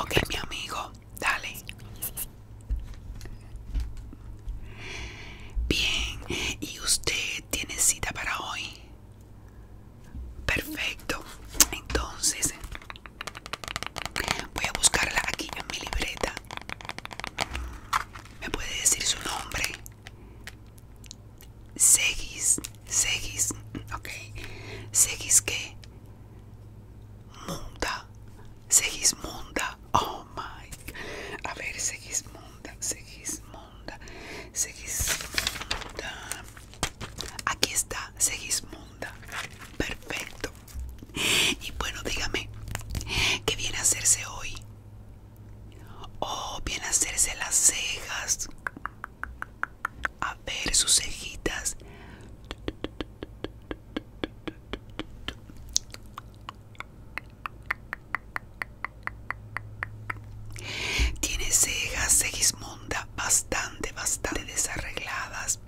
Ok, mi amigo, dale. Bien, ¿y usted tiene cita para hoy? Perfecto. Entonces, voy a buscarla aquí en mi libreta. ¿Me puede decir su nombre? Seguis seguís, ok, seguís que Munda, Segismunda, oh my, a ver, Segismunda, Segismunda, Munda? aquí está, Segismunda, perfecto. Y bueno, dígame, ¿qué viene a hacerse hoy? Oh, viene a hacerse las cejas, a ver sus cejitas. Tiene cejas, Segismunda, bastante, bastante desarregladas.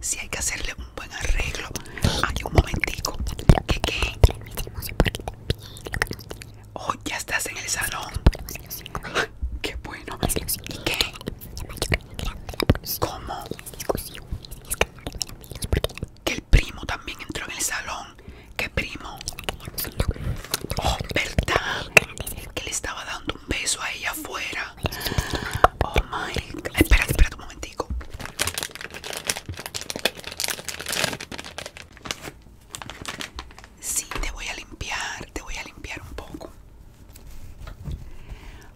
Si hay que hacerle un buen arreglo. Hay un momentico. ¿Qué qué? Oh, ya estás en el salón. Qué bueno. ¿Y qué? ¿Cómo? Que el primo también entró en el salón. ¿Qué primo? Oh, ¿verdad? Que le estaba dando un beso a ella afuera. Oh my Espera, Espérate, espérate un momentico. Sí, te voy a limpiar, te voy a limpiar un poco.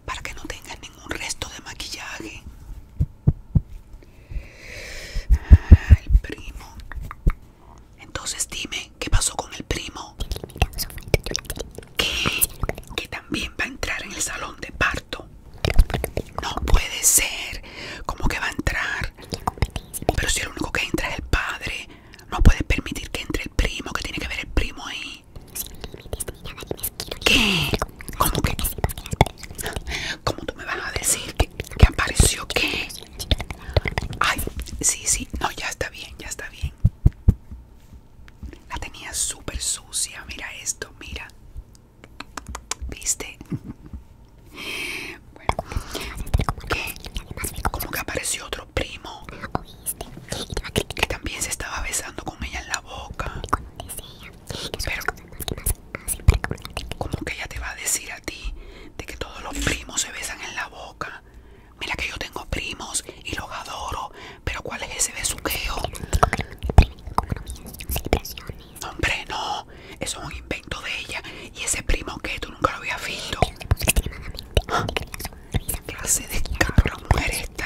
Para que no tengas ningún resto de maquillaje. Ah, el primo. Entonces dime, ¿qué pasó con el primo? ¿Qué? Que también va a entrar en el salón de parto. No puede ser. ¿Cómo que va a entrar? Pero si el único que entra es el padre. No puedes permitir que entre el primo, que tiene que ver el primo ahí. ¿Qué? ¿Cómo que? ¿Cómo tú me vas a decir que, que apareció qué? Ay, sí, sí, no, ya está bien, ya está bien. La tenía súper sucia, mira esto, mira. ¿Viste? Bueno, que, este, como que apareció otro primo que también se estaba besando con ella en la boca. Ah, pero como que ella te va a decir a ti de que todos los primos se besan en la boca. Mira que yo tengo primos y los adoro, pero ¿cuál es ese besuqueo? Hombre, no, eso es un invento de ella. Y ese primo que tú nunca lo habías visto. la Clase de cabra mujer esta.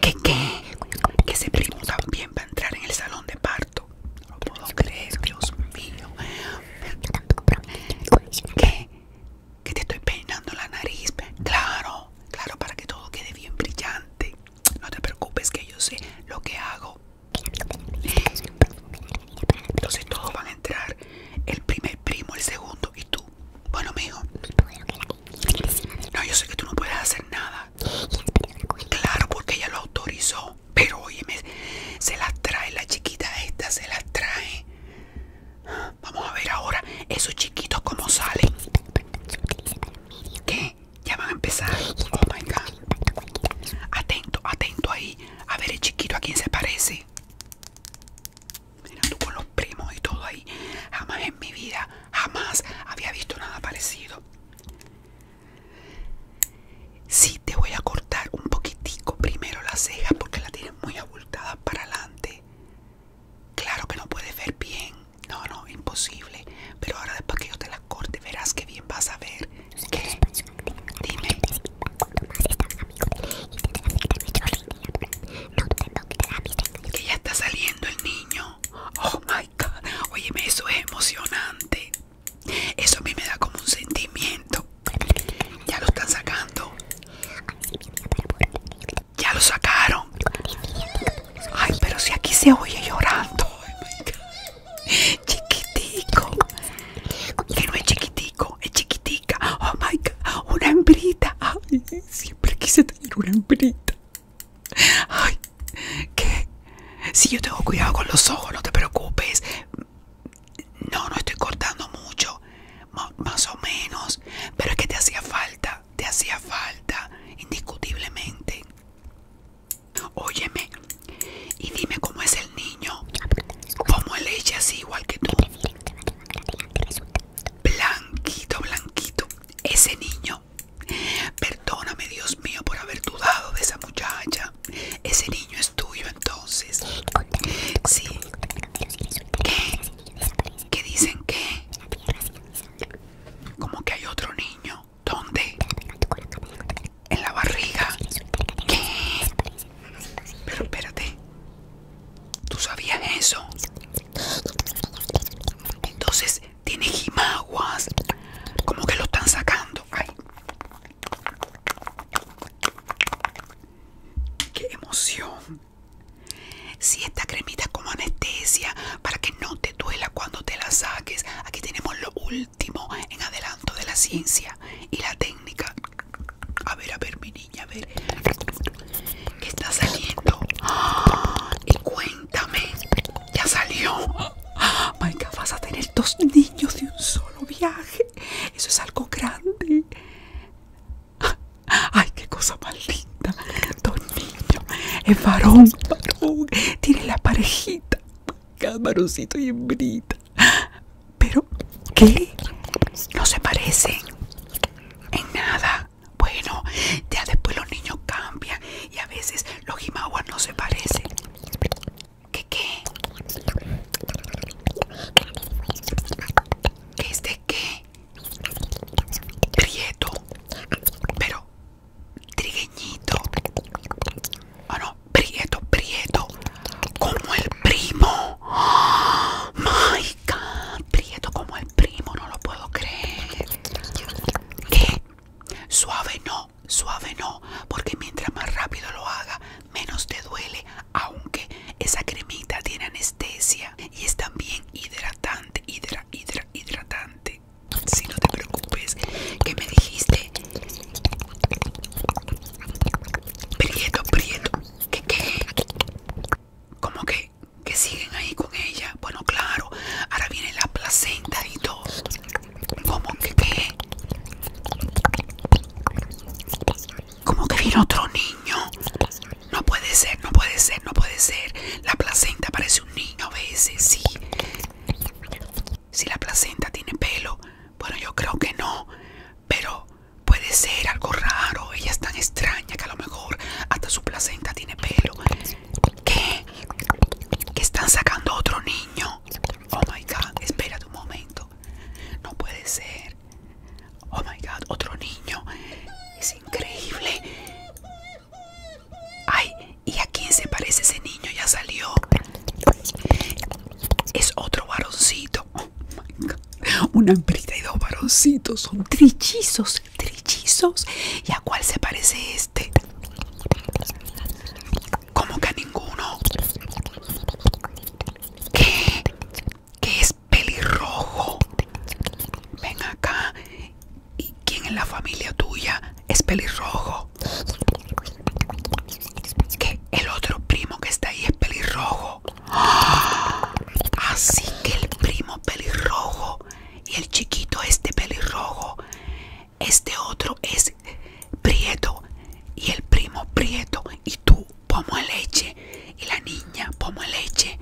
¿Qué qué? Que ese primo también va a entrar en el salón de parto. No lo puedo Dios mío. ¿Qué? Que te estoy peinando la nariz. Claro, claro, para que todo quede bien brillante. No te preocupes que yo sé lo que hago. Entonces todos van a entrar, el primer primo, el segundo y tú. Bueno, mijo. No, yo sé que tú no puedes hacer nada. Claro, porque ella lo autorizó. Pero óyeme, se las trae la chiquita esta, se las trae. Vamos a ver ahora esos chiquitos cómo salen. ¿Qué? Ya van a empezar. Oh my god. Atento, atento ahí. A ver el chiquito a quién se parece. Mira tú con los primos y todo ahí. Jamás en mi vida, jamás había visto nada parecido. Sí, te voy a cortar un poquitico primero las cejas porque la tienes muy abultada para adelante. Claro que no puedes ver bien. No, no, imposible. Pero ahora después que yo te las corte, verás que bien vas a ver. Dime. que ya está saliendo el niño. Oh my god. oye eso es emocionante. Eso a mí me da como un sentimiento. Ya lo están sacando. Ya lo sacaron. Ay, pero si aquí se oye llorando. Oh, Chiquitico no es chiquitico, es chiquitica. Oh my god, una hembrita. Ay, siempre quise tener una hembrita. Ay, qué. si yo tengo cuidado con los ojos, no te preocupes. No, no estoy cortando mucho, más o menos. Pero es que te hacía falta, te hacía falta, indiscutiblemente. Óyeme, y dime cómo es el niño. Como el ella, así igual que tú. Blanquito, blanquito. Ese niño. Perdóname, Dios mío, por haber dudado de esa muchacha. Ese niño es tuyo entonces. Sí. ¿Qué? dicen que Como que hay otro niño. ¿Dónde? en la barriga. Pero espérate. ¿Tú sabías eso? Entonces tiene jimaguas. Como que lo están sacando. ¡Qué emoción! Si esta cremita es como anestesia para que no te duela cuando te la saques. Aquí tenemos lo en adelanto de la ciencia y la técnica. A ver, a ver, mi niña, a ver. está saliendo? Y cuéntame, ya salió. vas a tener dos niños de un solo viaje. Eso es algo grande. Ay, qué cosa más linda. Dos niños. Es varón, varón. Tiene la parejita. varoncito y hembrita. Pero, ¿qué? No se parecen en nada. Bueno, ya después los niños cambian y a veces los jimaguas no se parecen. ¿Qué qué? ¿Qué es de qué? Prieto. Pero, trigueñito. Ah, Prieto, Prieto. Como el primo. Oh, Prieto como el primo, no lo puedo creer. ¿Qué? Suave no, suave no. Porque mientras más rápido lo haga, menos te duele. Aunque esa cremita tiene anestesia y es también hidratante, hidra, hidra, hidratante. Si no te preocupes, que me dijiste Prieto, Prieto. ¿Qué qué? ¿Cómo que, que siguen ahí con ella? Bueno, claro, ahora viene la placenta y todo. ¿Cómo que qué? ¿Cómo que viene otro niño? No puede ser, no puede ser, no puede ser. La placenta parece un niño a veces, sí si la placenta tiene pelo. Bueno, yo creo que no, pero puede ser algo raro. Ella es tan extraña que a lo mejor hasta su placenta tiene pelo. ¿Qué? ¿Que están sacando otro niño? Oh my god, espera un momento. No puede ser. Oh my god, otro niño. Es increíble. Ay, ¿y a quién se parece ese niño? Ya salió. Es otro varoncito. Oh my God. Una hembrita y dos varoncitos. Son trillizos, trichizos, ¿Y a cuál se parece este? Como que a ninguno. ¿Qué? ¿Qué es pelirrojo? Ven acá. ¿Y quién en la familia tuya es pelirrojo? que el otro primo que está ahí es pelirrojo. Así que el primo pelirrojo y el chiquito este pelirrojo. Este otro es prieto y el primo prieto. Y tú, pomo leche. Y la niña, pomo leche.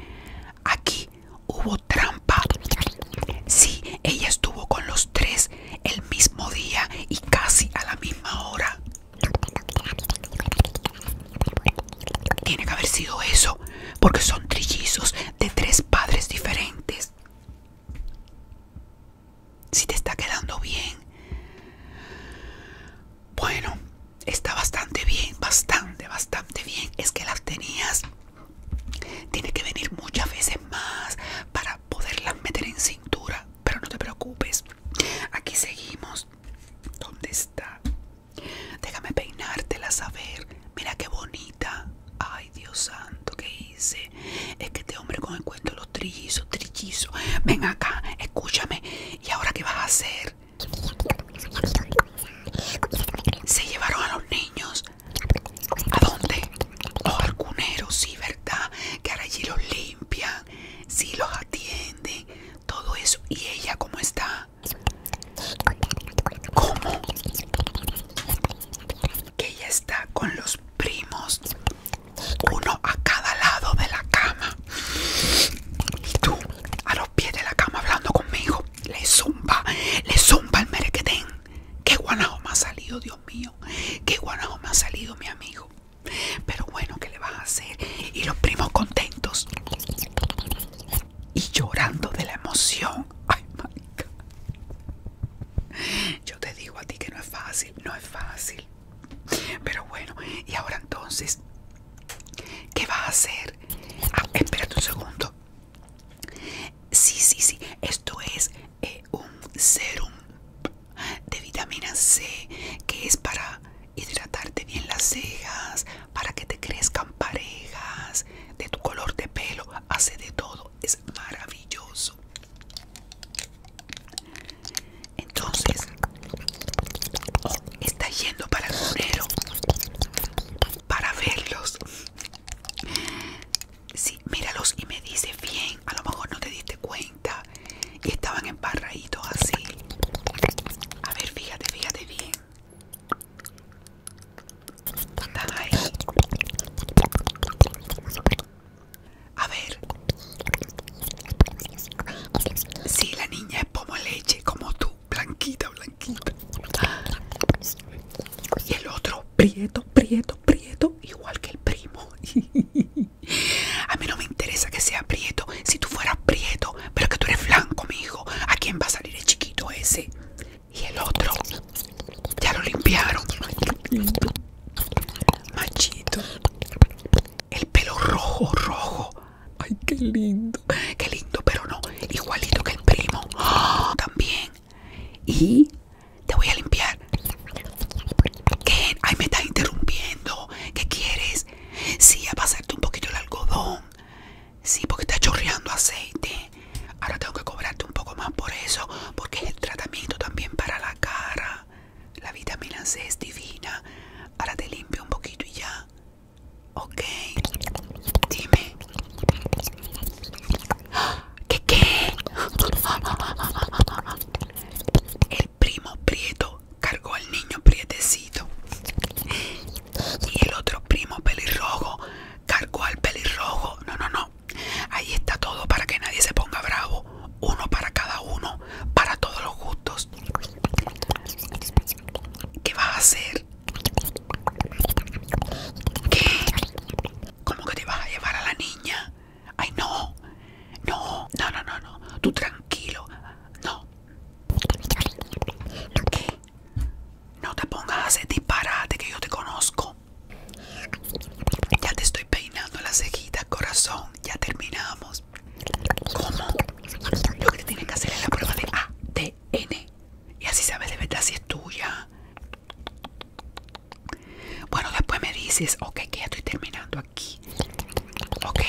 Aquí hubo trampa. Sí, ella estuvo con los tres el mismo día y casi a la misma hora. Tiene que haber sido eso, porque son trillizos de tres padres diferentes. Si te está quedando bien. Bueno, está bastante bien, bastante, bastante bien. Es que las tenías. Tiene que venir muchas veces más para poderlas meter en cintura pero no te preocupes. Aquí seguimos. ¿Dónde está? Déjame peinártela, saber. Mira qué bonita. Ay, Dios santo, ¿qué hice? Es que este hombre con el cuento de los trillizos, Ven acá, escúchame. ¿Y ahora qué vas a hacer? Se llevaron a los niños. ¿A dónde? Los cunero, sí, ¿verdad? Que ahora allí los limpian, sí los atienden, todo eso. ¿Y ella cómo está? ¿Cómo? Que ella está con los primos, uno a cada lado de la cama. Y tú, a los pies de la cama hablando conmigo, le zumba, le zumba el merequetén. ¿Qué guanajo ha salido, Dios mío, que guanajo me ha salido mi amigo. Pero bueno, ¿qué le vas a hacer? Y los primos contentos y llorando de la emoción. Ay, Yo te digo a ti que no es fácil, no es fácil. Pero bueno, y ahora entonces, ¿qué vas a hacer? espera ah, espérate un segundo. Sí, sí, sí, esto es eh, un serum de vitamina C que es para hidratarte bien las cejas, para que te crezcan parejas, de tu color de pelo, hace de todo, es maravilloso. Entonces, está yendo para el monero para verlos. Sí, míralos y me dice bien, a lo mejor no te diste cuenta estaban embarraditos así. A ver, fíjate, fíjate bien. ahí. A ver. Sí, la niña es como leche, como tú, blanquita, blanquita. Y el otro, prieto, prieto, prieto igual que el primo. A mí no me interesa que sea prieto. Si tú fueras prieto, pero que tú eres blanco, mi hijo. ¿A quién va a salir el chiquito ese? Y el otro. Ya lo limpiaron. Machito. El pelo rojo, rojo. Ay, qué lindo. Qué lindo, pero no. Igualito que el primo. También y te voy a limpiar. ¿Qué? Ay, me estás interrumpiendo. ¿Qué quieres? Sí, a pasarte un poquito el algodón. Sí, porque está chorreando aceite. Ahora tengo que cobrarte un poco más por eso, porque es el tratamiento también para la cara. La vitamina C es divina. Ahora te limpio un poquito y ya. Ok. Dime. ¿Qué qué? El primo Prieto cargó al niño prietecito. Y el otro primo pelirrojo cargó al pelirrojo. No, no, no. Ahí está todo para que nadie se ponga bravo. Uno para cada uno, para todos los gustos. ¿Qué vas a hacer? ¿Qué? ¿Cómo que te vas a llevar a la niña? Ay, no, no, no, no, no, no. Tú tranquilo, no. ¿Qué? No te pongas a hacer disparate que yo te conozco. Ya te estoy peinando la cejita corazón. Ya terminamos. ¿Cómo? Lo que te tienen que hacer es la prueba de ADN. Y así sabes de verdad si es tuya. Bueno, después me dices, ok, que ya estoy terminando aquí. Ok,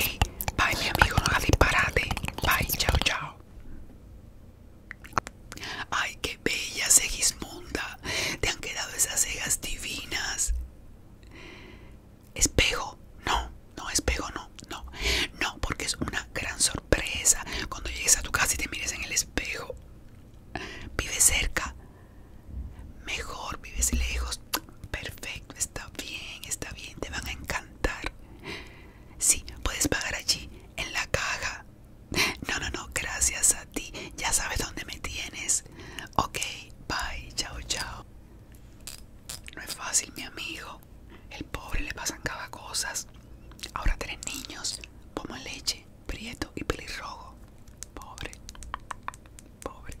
bye mi amigo, no la disparate. Bye, chao, chao. Ay, qué bella Segismunda. Te han quedado esas cejas divinas. Espejo, no, no, espejo, no, no, no, porque es una gran sorpresa cuando llegues a tu casa y te mires en el espejo. Vive cerca. Mejor vives lejos. Perfecto, está bien, está bien, te van a encantar. Sí, puedes pagar allí, en la caja. No, no, no, gracias a ti. Ya sabes dónde me tienes. Ok, bye, chao, chao. No es fácil, mi amigo. El pobre le pasan cada cosas. Ahora tres niños, como leche prieto y pelirrojo. Pobre. Pobre.